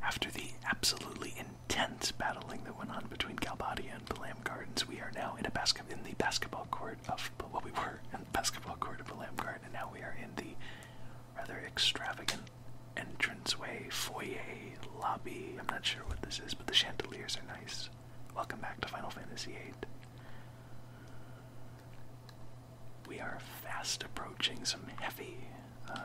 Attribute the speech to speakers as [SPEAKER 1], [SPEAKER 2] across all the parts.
[SPEAKER 1] After the absolutely intense battling that went on between Galbadia and the Balam Gardens, we are now in the basketball court of what we were in the basketball court of the Balam Garden, and now we are in the rather extravagant entranceway, foyer, lobby. I'm not sure what this is, but the chandeliers are nice. Welcome back to Final Fantasy VIII we are fast approaching some heavy, uh,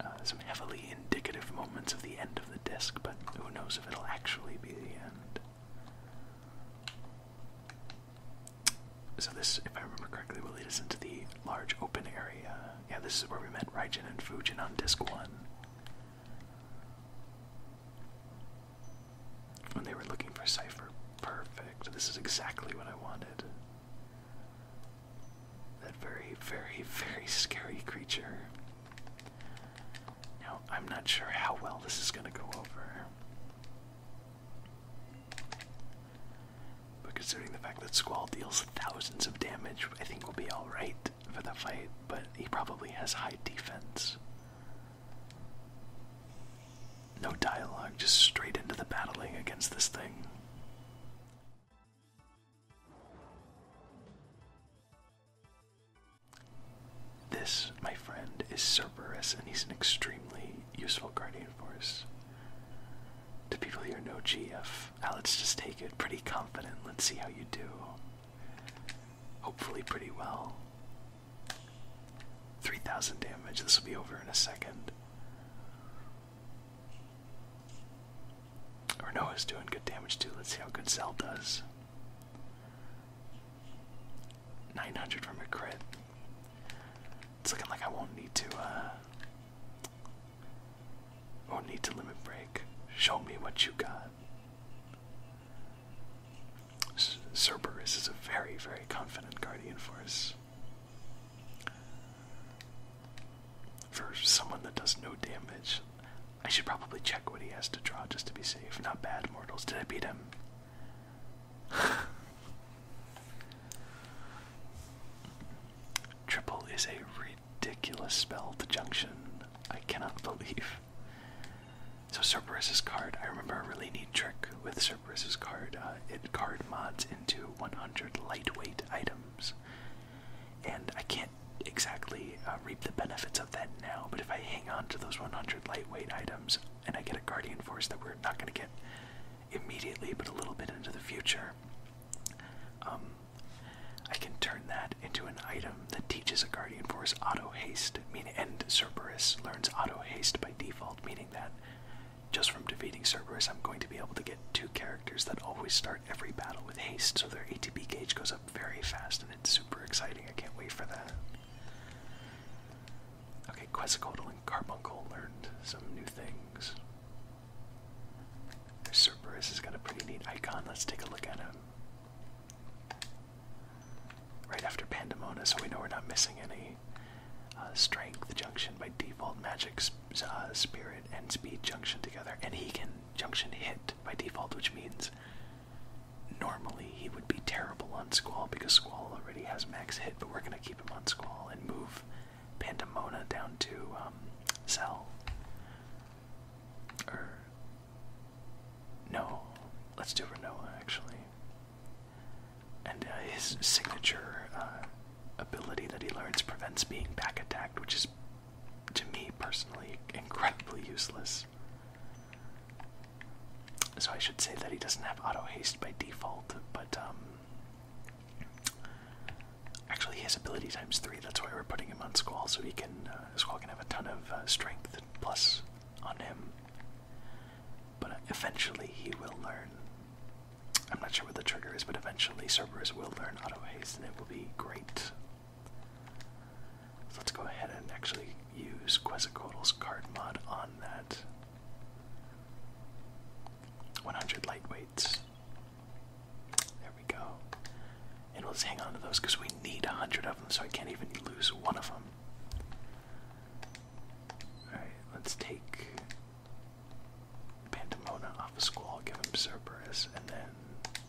[SPEAKER 1] uh, some heavily indicative moments of the end of the disc, but who knows if it'll actually be the end. So this, if I remember correctly, will lead us into the large open area. Yeah, this is where we met Raijin and Fujin on disc one. When they were looking for Cypher. Perfect. This is exactly what I wanted. That very, very, very scary creature. Now, I'm not sure how well this is going to go over. But considering the fact that Squall deals thousands of damage, I think we'll be alright for the fight, but he probably has high defense. No dialogue, just straight into the battling against this thing. This, my friend, is Cerberus, and he's an extremely useful guardian force. To people here know GF, ah, let's just take it pretty confident. Let's see how you do. Hopefully, pretty well. 3,000 damage. This will be over in a second. Or Noah's doing good damage too. Let's see how good Cell does. 900 from a crit. It's looking like I won't need to, uh. Won't need to limit break. Show me what you got. Cerberus is a very, very confident guardian force. For someone that does no damage, I should probably check what he has to draw just to be safe. Not bad, mortals. Did I beat him? Triple is a ridiculous spell to junction. I cannot believe. So Cerberus's card, I remember a really neat trick with Cerberus's card, uh, it card mods into 100 lightweight items. And I can't exactly uh, reap the benefits of that now, but if I hang on to those 100 lightweight items and I get a Guardian Force that we're not going to get immediately, but a little bit into the future, um, I can turn that into an item that teaches a Guardian Force auto haste, meaning, and Cerberus learns auto haste by default, meaning that just from defeating Cerberus, I'm going to be able to get two characters that always start every battle with haste, so their ATB gauge goes up very fast, and it's super exciting. I can't wait for that. Okay, Quetzalcoatl and Carbuncle learned some new things. Cerberus has got a pretty neat icon. Let's take a look at him. Right after Pandemonium, so we know we're not missing any. Uh, strength junction by default, magic, uh, spirit, and speed junction together, and he can junction hit by default, which means normally he would be terrible on Squall because Squall already has max hit, but we're gonna keep him on Squall and move Pandemona down to um, Cell. Or er, no, let's do Renoa actually. And uh, his signature uh, ability that he learns prevents being back attacked, which is, to me personally, incredibly useless. So I should say that he doesn't have auto haste by default, but um, actually his ability times three. That's why we're putting him on Squall, so he can uh, Squall can have a ton of strength plus on him. But eventually he will learn I'm not sure what the trigger is, but eventually Cerberus will learn auto haste and it will be great. So let's go ahead and actually use Quetzalcoatl's card mod on that. 100 lightweights. There we go. And let's hang on to those because we need 100 of them, so I can't even lose one of them. Alright, let's take Pantamona off of school, give him Cerberus, and then.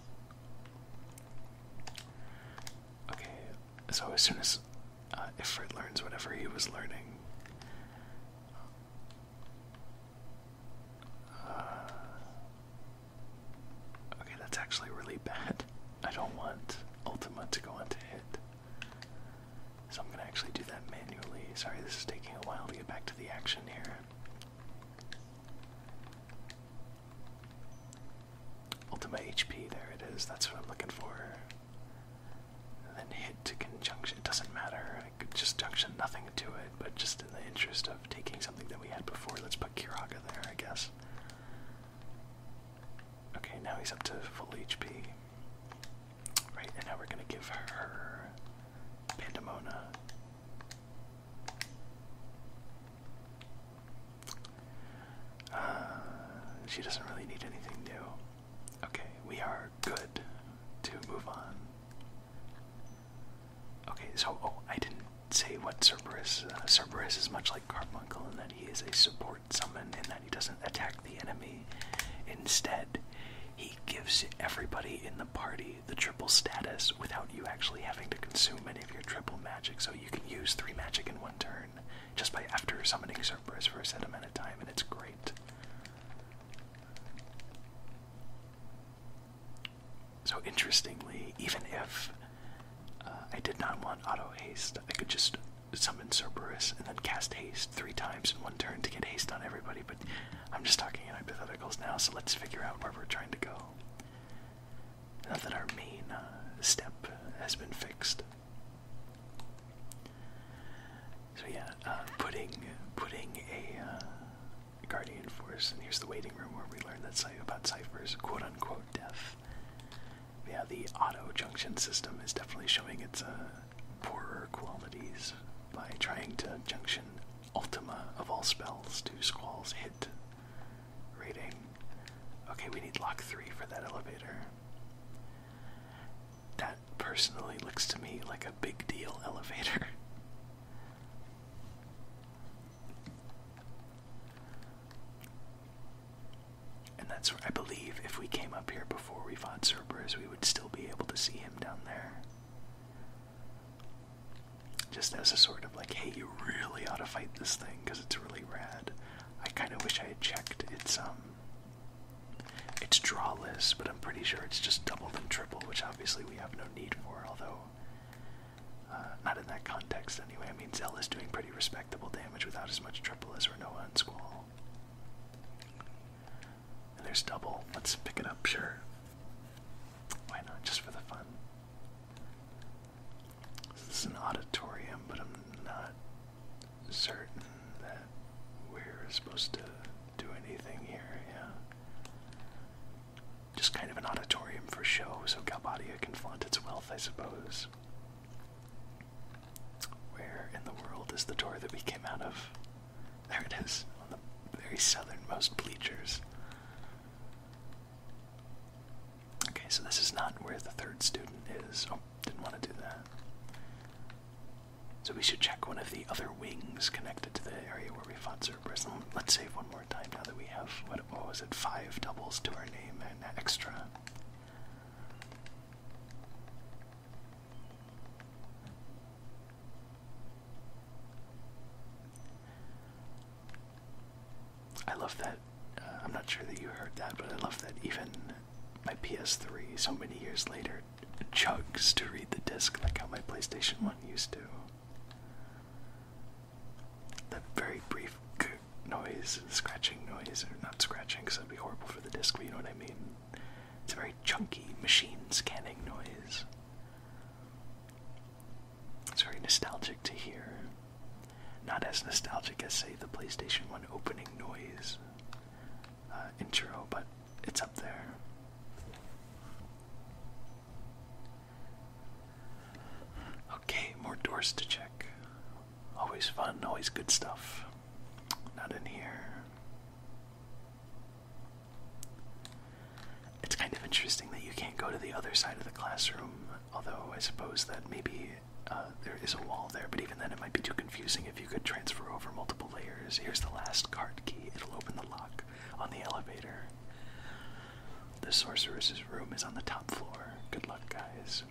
[SPEAKER 1] Okay, so as soon as if uh, Ifrit learns whatever he was learning. Uh, okay, that's actually really bad. I don't want Ultima to go on to hit. So I'm going to actually do that manually. Sorry, this is taking a while to get back to the action here. Ultima HP, there it is. That's what I'm looking for. then hit to conjunction. It doesn't matter. I could just junction nothing to it, but just in the interest of taking something that we had before, let's put Kiraga there, I guess. Okay, now he's up to full HP. Right, and now we're gonna give her Pandemona. Uh, she doesn't really need anything new. Okay, we are good to move on. Okay, so oh, I didn't say what Cerberus. Uh, Cerberus is much like Carbuncle in that he is a support summon, and he doesn't attack the enemy. Instead, he gives everybody in the party the triple status without you actually having to consume any of your triple magic. So you can use three magic in one turn just by after summoning Cerberus for a set amount of time, and it's great. So interestingly, even if uh, I did not want auto haste, I could just summon Cerberus and then cast haste three times in one turn to get haste on everybody, but I'm just talking in hypotheticals now, so let's figure out where we're trying to go. Now that our main uh, step has been fixed. So yeah, uh, putting putting a uh, guardian force, and here's the waiting room where we learned that cy about ciphers, quote unquote death. Yeah, the auto junction system is definitely showing its uh, poorer qualities by trying to junction Ultima of all spells to Squall's hit rating. Okay, we need lock 3 for that elevator. That personally looks to me like a big deal elevator. And that's where I believe if we came up here before we fought Cerberus, we would still be able to see him down there. Just as a sort of like, hey, you really ought to fight this thing because it's really rad. I kind of wish I had checked its um, its draw but I'm pretty sure it's just double and triple, which obviously we have no need for. Although, uh, not in that context anyway. I mean, Zell is doing pretty respectable damage without as much triple as Renoa and Squall. And there's double. Let's pick it up, sure. Why not? Just for the fun. this is an auditorium, but I'm not certain that we're supposed to do anything here, yeah. Just kind of an auditorium for show, so Galbadia can flaunt its wealth, I suppose. Where in the world is the door that we came out of? There it is, on the very southernmost bleachers. Okay, so this is not where the third student is. Oh, didn't want to do that. So we should check one of the other wings connected to the area where we fought Cerberus. Um, let's save one more time now that we have, what, what was it, five doubles to our name and extra. I love that. Uh, I'm not sure that you heard that, but I love that even my PS3, so many years later, chugs to read the disc like how my PlayStation 1 used to. That very brief noise, scratching noise, or not scratching because that'd be horrible for the disc, but you know what I mean. It's a very chunky machine scanning noise. It's very nostalgic to hear. Not as nostalgic as, say, the PlayStation 1 opening noise uh, intro, but it's up there. Okay, more doors to check. Always fun, always good stuff. Not in here. It's kind of interesting that you can't go to the other side of the classroom, although I suppose that maybe uh, there is a wall there, but even then it might be too confusing if you could transfer over multiple layers. Here's the last card key, it'll open the lock on the elevator. The sorceress's room is on the top floor. Good luck, guys.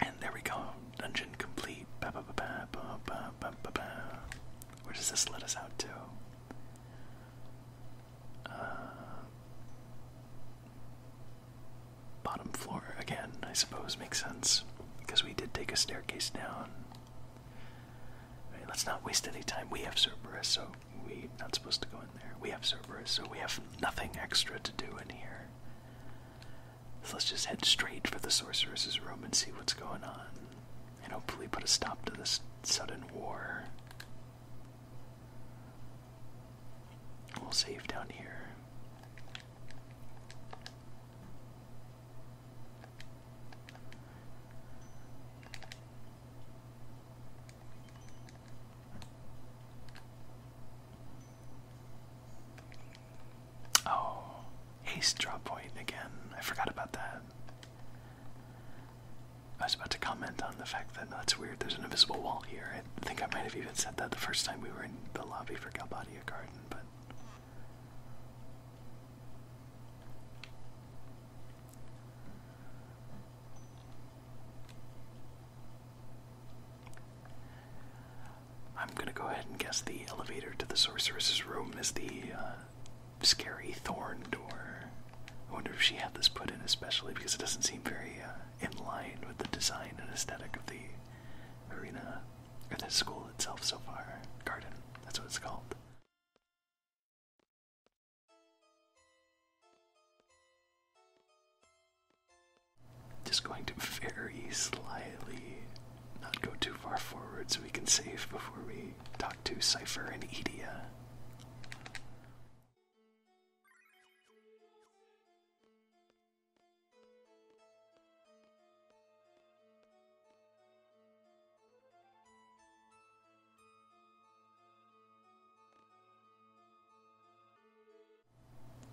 [SPEAKER 1] And there we go. Dungeon complete. Where does this let us out to? Uh, bottom floor again, I suppose, makes sense because we did take a staircase down. let's not waste any time. We have Cerberus, so we're not supposed to go in there. We have Cerberus, so we have nothing extra to do in here. So let's just head straight for the sorceress's room and see what's going on. And hopefully put a stop to this sudden war. We'll save down here. Oh, ace drop point again. I forgot about that. I was about to comment on the fact that that's weird. There's an invisible wall here. I think I might have even said that the first time we were in the lobby for Galbadia Garden, but. I'm gonna go ahead and guess the elevator to the sorceress's room is the uh, scary thorn door. I wonder if she had this put in especially because it doesn't seem very uh, in line with the design and aesthetic of the arena or the school itself so far. Garden, that's what it's called. Just going to very slightly not go too far forward so we can save before we talk to Cypher and Edia.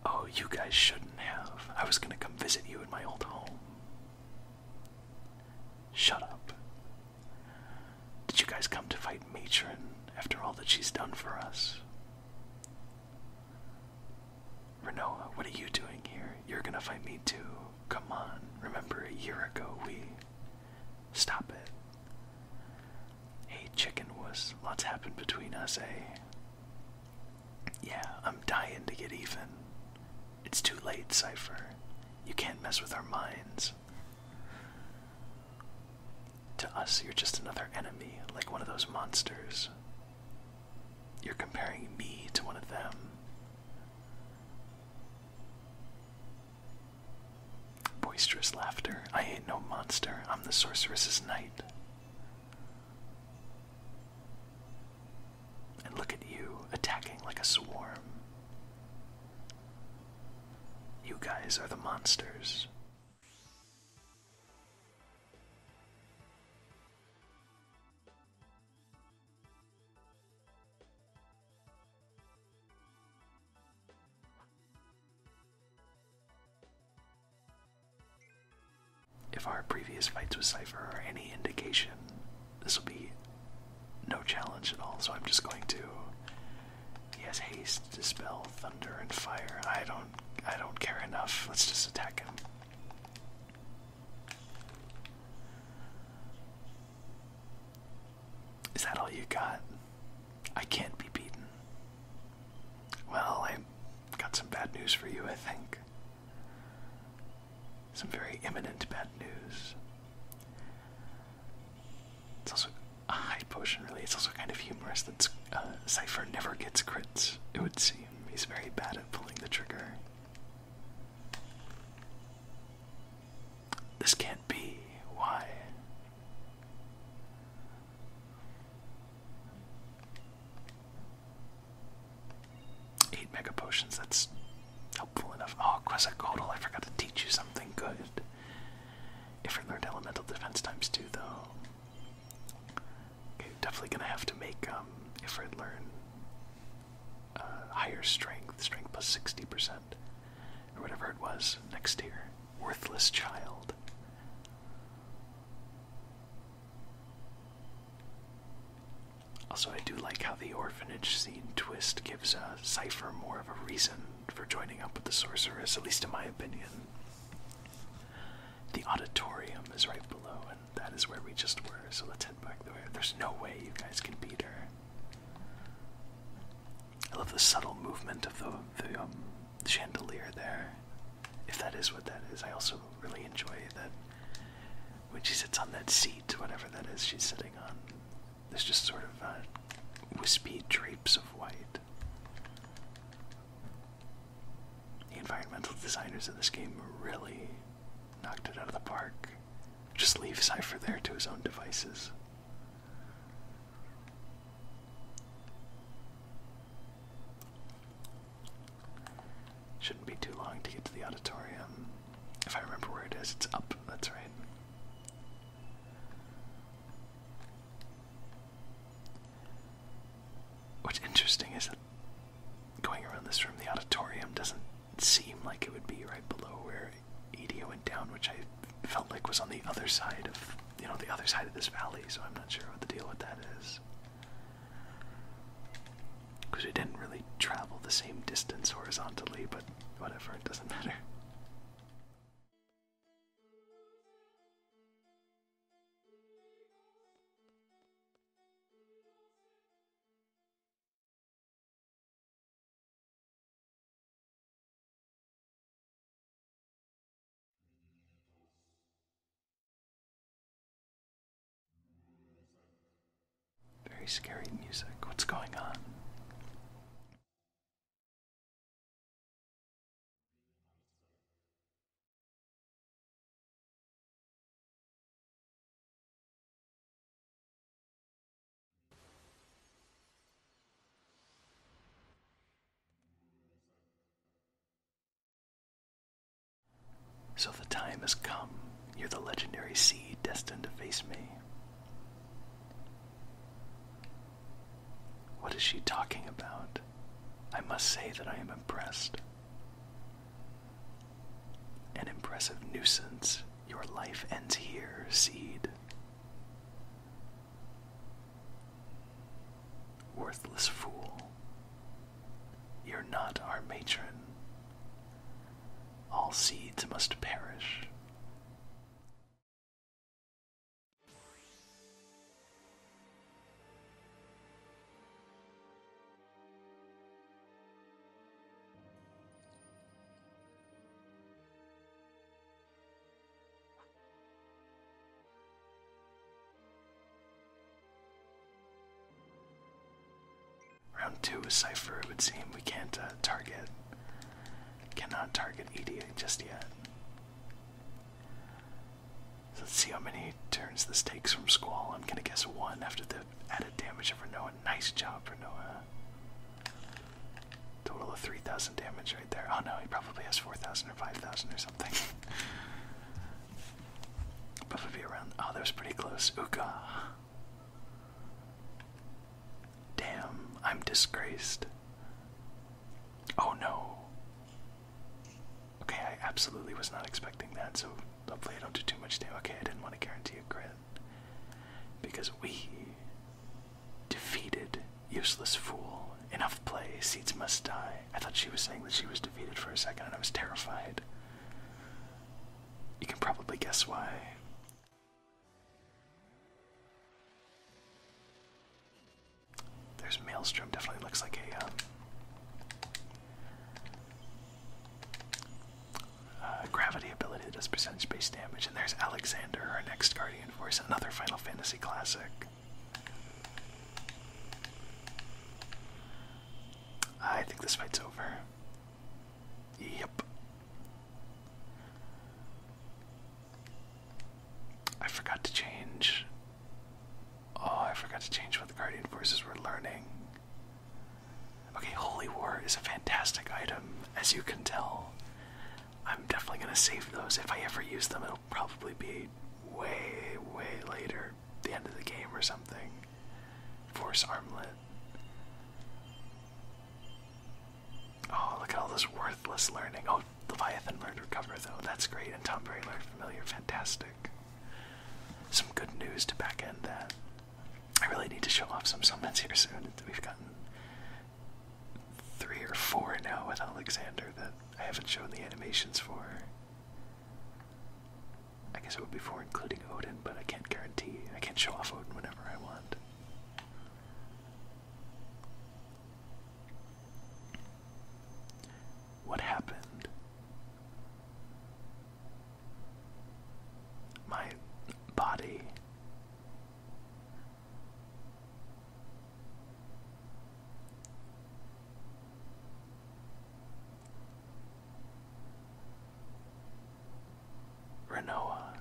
[SPEAKER 1] Oh, you guys shouldn't have. I was gonna come visit you in my old home. Shut up. Did you guys come to fight Matron after all that she's done for us? Renoa, what are you doing here? You're gonna fight me too. Come on, remember a year ago we. Stop it. Hey, chicken wuss, lots happened between us, eh? Yeah, I'm dying to get even. It's too late, Cypher. You can't mess with our minds. To us, you're just another enemy, like one of those monsters. You're comparing me to one of them. Boisterous laughter. I ain't no monster. I'm the sorceress's knight. And look at you attacking like a swarm. You guys are the monsters. If our previous fights with Cypher are any indication, this will be no challenge at all, so I'm just going to He has haste, dispel, thunder, and fire. I don't I don't care enough. Let's just attack him. Is that all you got? I can't be beaten. Well, I got some bad news for you, I think. Some very imminent bad news. It's also a high potion, really. It's also kind of humorous that uh, Cypher never gets crits, it would seem. He's very bad at pulling the trigger. This can't be. Why? Eight mega potions, that's helpful enough. Oh, Quetzalcoatl, I forgot to teach you something good. If I learn elemental defense times two, though. definitely gonna have to make, um, if I learn uh, higher strength, strength plus 60%, or whatever it was, next year. Worthless Child. Also, I do like how the orphanage scene twist gives uh, Cypher more of a reason for joining up with the sorceress, at least in my opinion. The auditorium is right below, and that is where we just were, so let's head back there. There's no way you guys can beat her. I love the subtle movement of the, um, chandelier there, if that is what that is. I also really enjoy that when she sits on that seat, whatever that is she's sitting on, there's just sort of uh, wispy drapes of white. The environmental designers of this game really knocked it out of the park. Just leave Cypher there to his own devices. Shouldn't be too long to get to the auditorium. If I remember where it is, it's up, that's right. What's interesting is that going around this room, the auditorium doesn't seem like it would be right below where Edo went down, which I felt like was on the other side of, you know, the other side of this valley, so I'm not sure what the deal with that is. Because we didn't really travel the same distance horizontally, but whatever, it doesn't matter. Very scary music. What's going on? So the time has come. You're the legendary seed destined to face me. What is she talking about? I must say that I am impressed. An impressive nuisance. Your life ends here, seed. Worthless fool. You're not our matron. All seeds must perish. Round two is Cypher, it would seem. We can't uh, target, cannot target EDA just yet. let's see how many turns this takes from Squall. I'm gonna guess one after the added damage of Renoa. Nice job, Renoa. Total of 3,000 damage right there. Oh no, he probably has 4,000 or 5,000 or something. Probably around. Oh, that was pretty close. Uka. Damn, I'm disgraced. Oh no. Okay, I absolutely was not expecting that, so hopefully I don't do too much damage. Okay, I didn't want to guarantee a crit. Because we defeated Useless Fool. Enough play, seeds must die. I thought she was saying that she was defeated for a second, and I was terrified. You can probably guess why. There's Maelstrom, definitely looks like a, um, gravity ability that does percentage based damage. And there's Alexander, our next Guardian Force, another Final Fantasy classic. I think this fight's over. Yep. I forgot to change. Oh, I forgot to change what the Guardian Forces were learning. Okay, Holy War is a fantastic item, as you can tell. I'm definitely gonna save those. If I ever use them, it'll probably be way, way later the end of the game or something. Force armlet. Oh, look at all this worthless learning. Oh, Leviathan learned recover though. That's great. And Tom learned familiar. Fantastic. Some good news to back end that. I really need to show off some summons here soon. We've gotten three or four now with Alexander that I haven't shown the animations for. I guess it would be for including Odin, but I can't guarantee. I can't show off Odin whenever I want. What happened? My body. Renoa.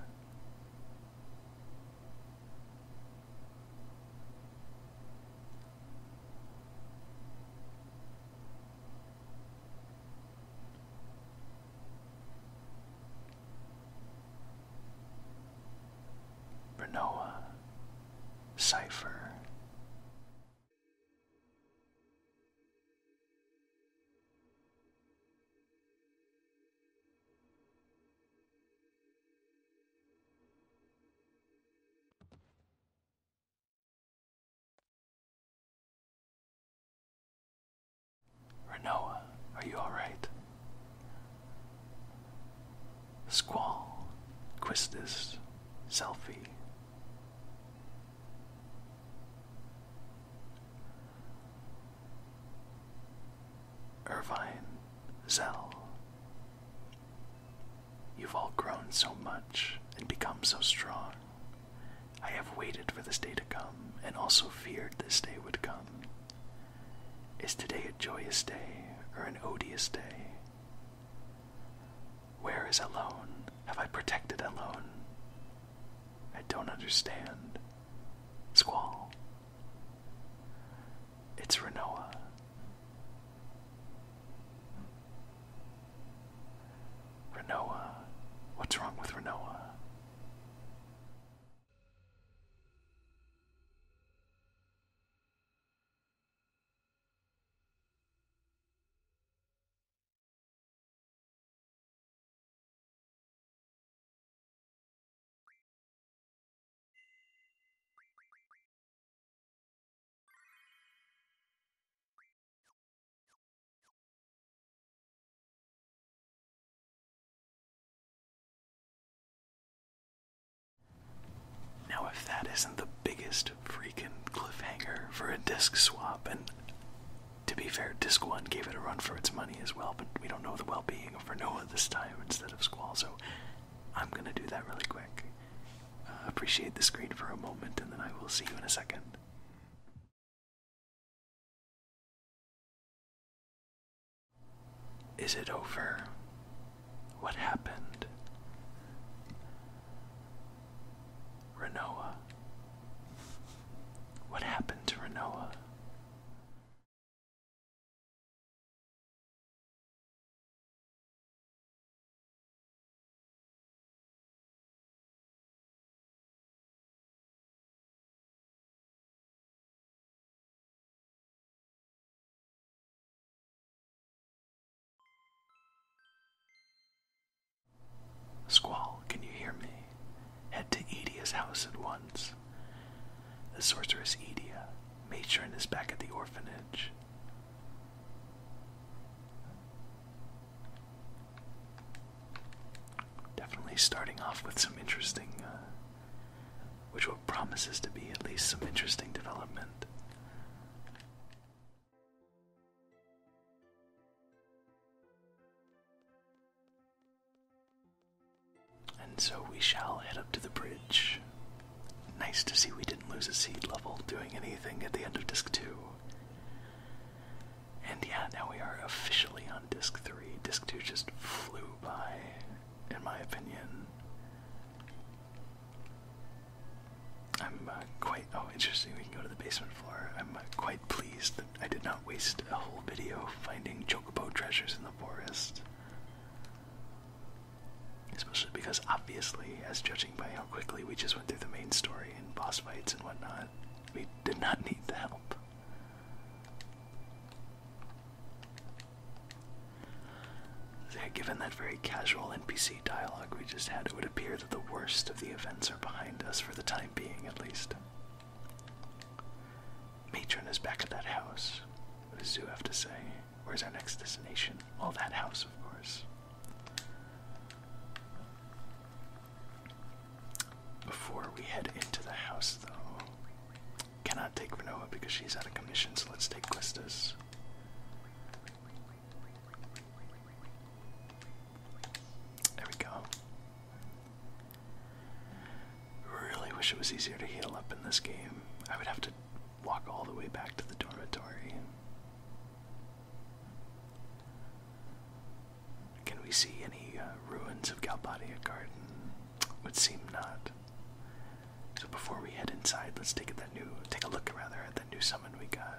[SPEAKER 1] Renoa, Cipher, Renoa, are you alright? Squall, Quistis, Selfie, Irvine, Zell, you've all grown so much and become so strong. I have waited for this day to come and also feared this day would come. Is today a joyous day or an odious day? Where is alone? Have I protected alone? I don't understand. Squall. It's Renoa. Renoa. What's wrong with Renoa? Now, if that isn't the biggest freaking cliffhanger for a disc swap. And to be fair, disc one gave it a run for its money as well, but we don't know the well being of Renoa this time instead of Squall, so I'm gonna do that really quick. Uh, appreciate the screen for a moment, and then I will see you in a second. Is it over? What happened? Renoa. What happened to Renoa? Squall, can you hear me? Head to Edia's house at once. The sorceress Edia, matron, is back at the orphanage. Definitely starting off with some interesting, uh, which will promises to be at least some interesting development. And so we shall head up to the bridge. Nice to see we didn't lose a seed level doing anything at the end of disc 2. And yeah, now we are officially on disc 3. Disc 2 just flew by, in my opinion. I'm uh, quite. Oh, interesting. We can go to the basement floor. I'm uh, quite pleased that I did not waste a whole video finding chocobo treasures in the forest. Especially because, obviously, as judging by how quickly we just went through the main story and boss fights and whatnot, we did not need the help. They yeah, given that very casual NPC dialogue we just had, it would appear that the worst of the events are behind us, for the time being at least. Matron is back at that house. What does Zoo have to say? Where's our next destination? All that house, of course. Before we head into the house, though, cannot take Renoa because she's out of commission, so let's take Quistis. There we go. Really wish it was easier to heal up in this game. I would have to walk all the way back to the dormitory. Can we see any uh, ruins of Galbadia Garden? Would seem not. So before we head inside, let's take a look rather at the new summon we got.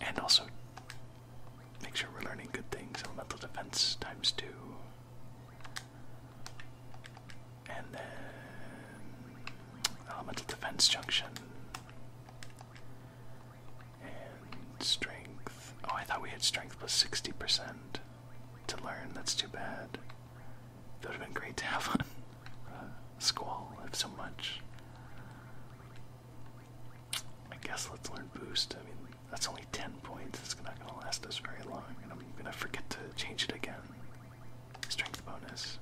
[SPEAKER 1] And also make sure we're learning good things. Elemental defense times two. And then elemental defense junction. And strength. Oh, I thought we had strength plus 60% to learn. That's too bad. It would have been great to have on uh, Squall live so much. I guess let's learn Boost. I mean, that's only 10 points. It's not going to last us very long, and I'm going to forget to change it again. Strength bonus.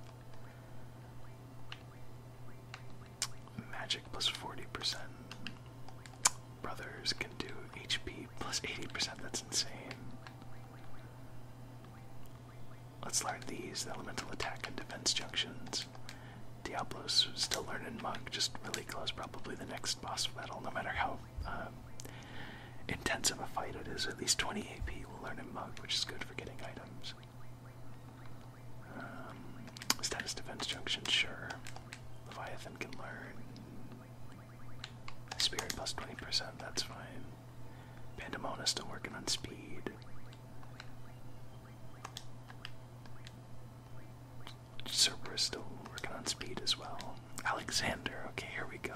[SPEAKER 1] Magic plus 40%. Brothers can do HP plus 80%. That's insane. Let's learn these elemental attack and defense junctions. Diablo's still learning Mug, just really close, probably the next boss battle, no matter how um, intense of a fight it is. At least 20 AP will learn in Mug, which is good for getting items. Um, status defense junction, sure. Leviathan can learn Spirit plus 20%, that's fine. Pandamona's still working on speed. Cerberus still working on speed as well. Alexander, okay, here we go.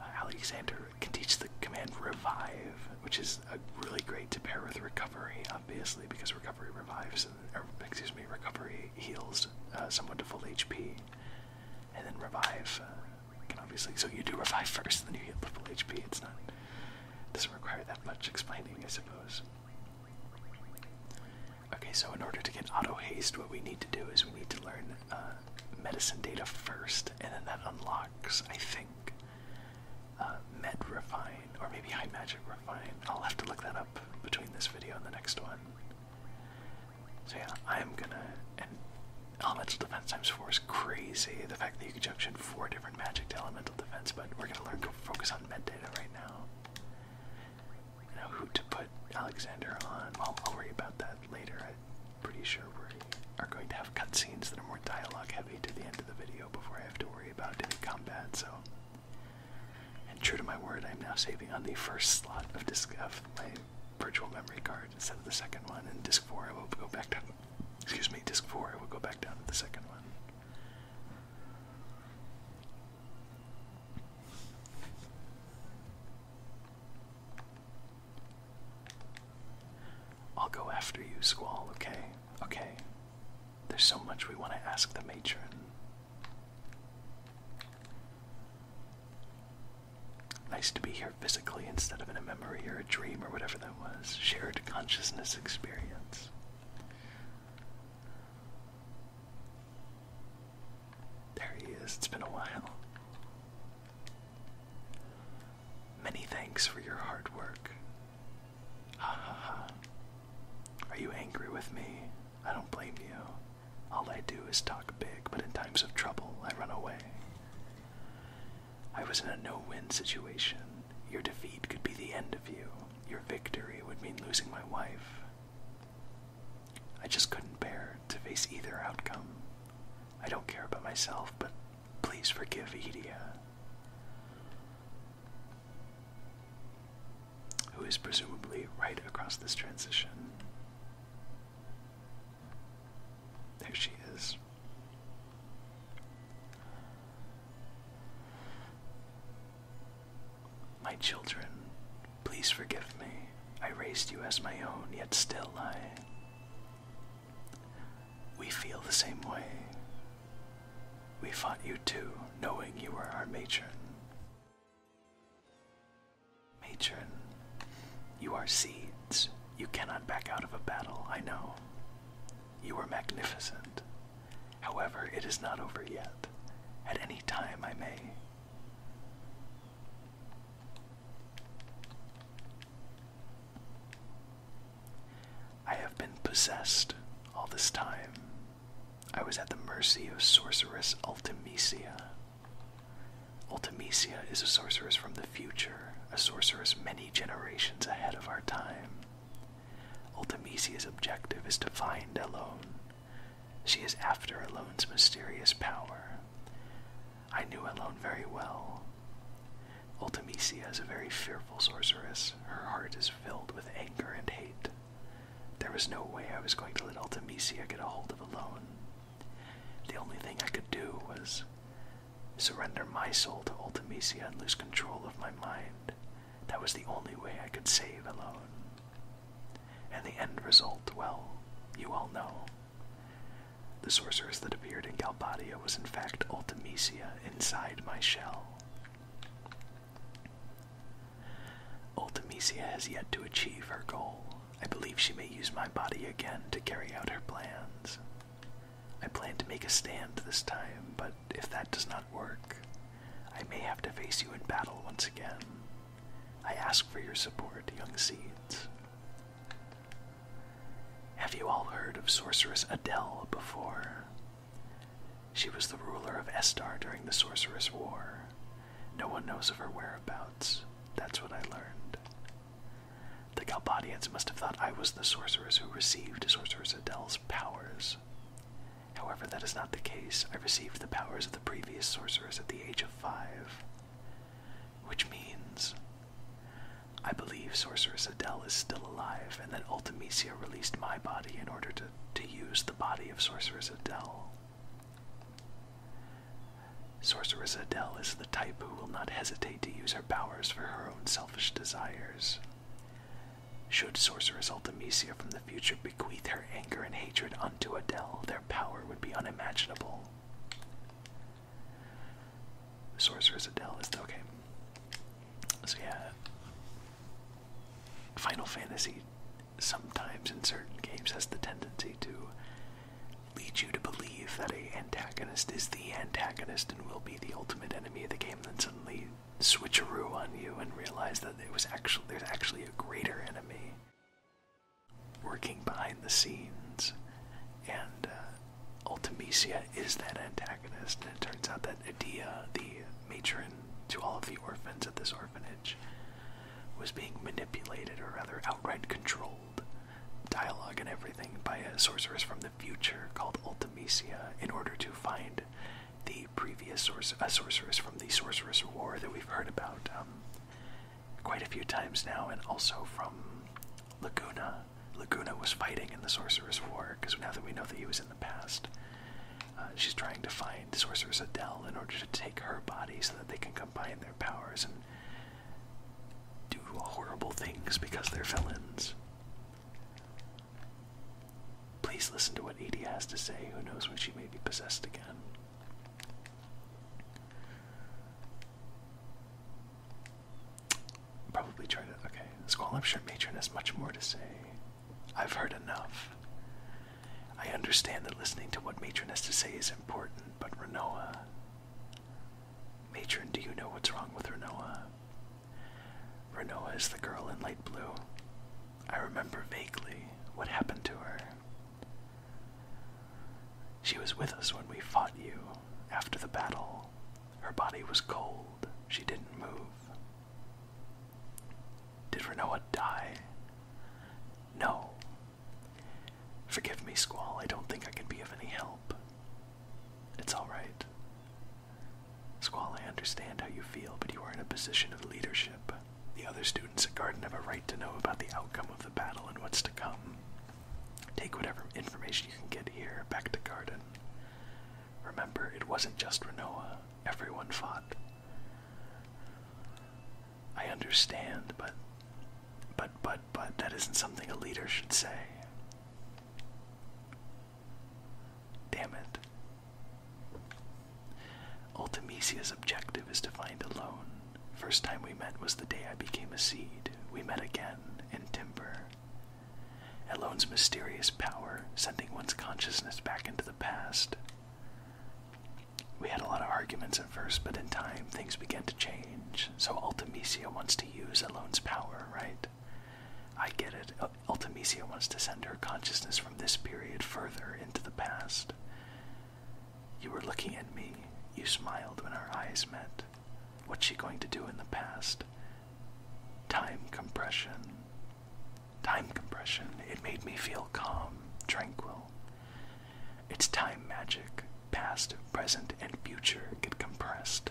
[SPEAKER 1] Uh, Alexander can teach the command revive, which is uh, really great to pair with recovery, obviously, because recovery revives, or excuse me, recovery heals uh, someone to full HP and then revive. obviously, so you do revive first, then you hit the full HP. It's not it doesn't require that much explaining, I suppose. Okay, so in order to get auto haste, what we need to do is we need to learn uh, medicine data first, and then that unlocks, I think. Uh, med refine, or maybe high magic refine. I'll have to look that up between this video and the next one. So yeah, I'm gonna and elemental defense times four is crazy. The fact that you can junction four different magic to elemental defense, but we're gonna learn to focus on metadata right now. You know who to put Alexander on. Well, I'll worry about that later. I'm pretty sure we are are going to have cutscenes that are more dialogue heavy to the end of the video before I have to worry about any combat. So. And true to my word, I'm now saving on the first slot of, disc of my virtual memory card instead of the second one, and disk four I will go back down. Excuse me, disk four I will go back down to the second one. I'll go after you, Squall, okay? Okay. There's so much we want to ask the matron. Nice to be here physically instead of in a memory or a dream or whatever that was. Shared consciousness experience. There he is. It's been a while. Many thanks for your hard work. Ha ha ha. Are you angry with me? I don't blame you. All I do is talk big, but in times of trouble, I run away. I was in a no win situation. Your defeat could be the end of you. Your victory would mean losing my wife. I just couldn't bear to face either outcome. I don't care about myself, but please forgive Edia, who is presumably right across this transition. There she is. My children, please forgive me. I raised you as my own, yet still I. We feel the same way. We fought you too, knowing you were our matron. Matron, you are seeds. You cannot back out of a battle, I know. You are magnificent. However, it is not over yet. At any time I may. I have been possessed all this time. I was at the mercy of sorceress Ultimisia. Ultimisia is a sorceress from the future, a sorceress many generations ahead of our time. Ultimisia's objective is to find Elone. She is after Elone's mysterious power. I knew Elone very well. Ultimisia is a very fearful sorceress. Her heart is filled with anger and hate. There was no way I was going to let Ultimisia get a hold of Elone. The only thing I could do was surrender my soul to Ultimisia and lose control of my mind. That was the only way I could save alone. And the end result, well, you all know. The sorceress that appeared in Galbadia was in fact Ultimisia inside my shell. Ultimisia has yet to achieve her goal. I believe she may use my body again to carry out her plans. I plan to make a stand this time, but if that does not work, I may have to face you in battle once again. I ask for your support, young seeds. Have you all heard of Sorceress Adele before? She was the ruler of Estar during the Sorceress War. No one knows of her whereabouts. That's what I learned. The Galbadians must have thought I was the sorceress who received Sorceress Adele's powers. However, that is not the case. I received the powers of the previous sorceress at the age of five. Which means I believe Sorceress Adele is still alive and that Ultimisia released my body in order to, to use the body of Sorceress Adele. Sorceress Adele is the type who will not hesitate to use her powers for her own selfish desires. Should Sorceress Ultimisia from the future bequeath her anger and hatred unto Adele, their power would be unimaginable. Sorceress Adele is okay. So yeah, Final Fantasy sometimes in certain games has the tendency to lead you to believe that a antagonist is the antagonist and will be the ultimate enemy of the game, then suddenly switcheroo on you and realize that it was actually there's actually a greater enemy working behind the scenes, and uh, Ultimisia is that antagonist. And it turns out that Adia, the matron to all of the orphans at this orphanage, was being manipulated, or rather outright controlled, dialogue and everything, by a sorceress from the future called Ultimisia in order to find the previous sorceress from the Sorceress War that we've heard about um, quite a few times now, and also from Laguna. Laguna was fighting in the Sorceress War because now that we know that he was in the past, uh, she's trying to find Sorceress Adele in order to take her body so that they can combine their powers and do horrible things because they're felons. Please listen to what Edie has to say. Who knows when she may be possessed again? Probably try to. Okay. I'm sure Matron has much more to say. I've heard enough. I understand that listening to what Matron has to say is important, but Renoa. Matron, do you know what's wrong with Renoa? Renoa is the girl in light blue. I remember vaguely what happened to her. She was with us when we fought you after the battle. Her body was cold. She didn't move. Did Renoa die? No, Forgive me, Squall, I don't think I can be of any help. It's alright. Squall, I understand how you feel, but you are in a position of leadership. The other students at Garden have a right to know about the outcome of the battle and what's to come. Take whatever information you can get here back to Garden. Remember, it wasn't just Renoa. Everyone fought. I understand, but but but but that isn't something a leader should say. Damn it. Ultimisia's objective is to find a loan. First time we met was the day I became a seed. We met again in timber. A loan's mysterious power, sending one's consciousness back into the past. We had a lot of arguments at first, but in time things began to change. So Ultimisia wants to use Alone's power, right? I get it. Ultimisia wants to send her consciousness from this period further into the past. You were looking at me. You smiled when our eyes met. What's she going to do in the past? Time compression. Time compression. It made me feel calm, tranquil. It's time magic, past, present, and future get compressed.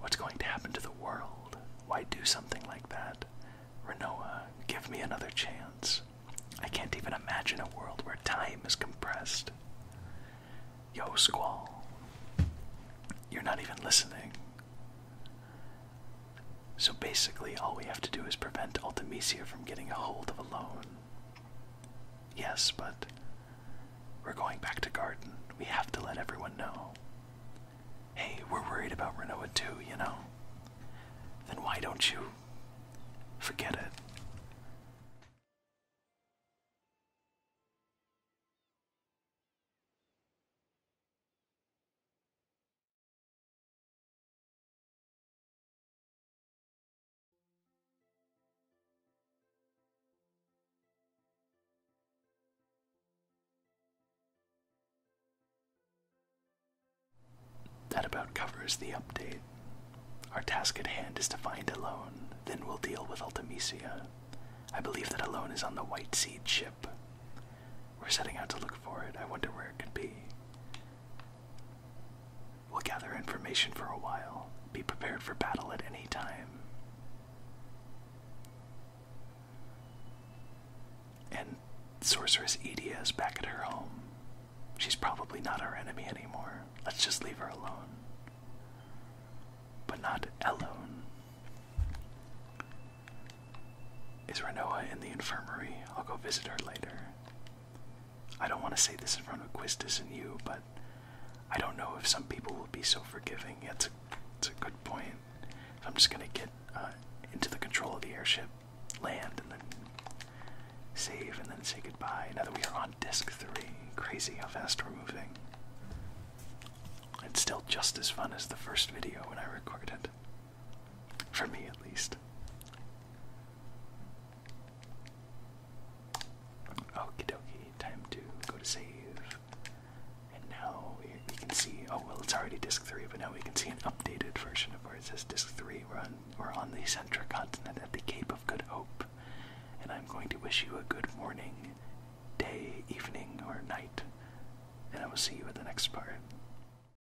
[SPEAKER 1] What's going to happen to the world? Why do something like that? Renoa, give me another chance. I can't even imagine a world where time is compressed. Yo, Squall. You're not even listening. So basically, all we have to do is prevent Ultimisia from getting a hold of a loan. Yes, but we're going back to Garden. We have to let everyone know. Hey, we're worried about Renoa too, you know? Then why don't you forget it? That about covers the update. Our task at hand is to find a loan. then we'll deal with Ultimisia. I believe that a loan is on the White Seed ship. We're setting out to look for it. I wonder where it could be. We'll gather information for a while. Be prepared for battle at any time. And Sorceress Edia is back at her home. She's probably not our enemy anymore. Let's just leave her alone. But not alone. Is Renoa in the infirmary? I'll go visit her later. I don't want to say this in front of Quistis and you, but I don't know if some people will be so forgiving. It's a, it's a good point. I'm just gonna get uh, into the control of the airship, land, and then save, and then say goodbye. Now that we are on disc three, crazy how fast we're moving. It's still just as fun as the first video when I recorded. For me, at least. Okie dokie, time to go to save. And now we, can see, oh well, it's already disk 3, but now we can see an updated version of where it says disk 3. We're on, we're on the centric continent at the Cape of Good Hope. And I'm going to wish you a good morning, day, evening, or night. And I will see you at the next part.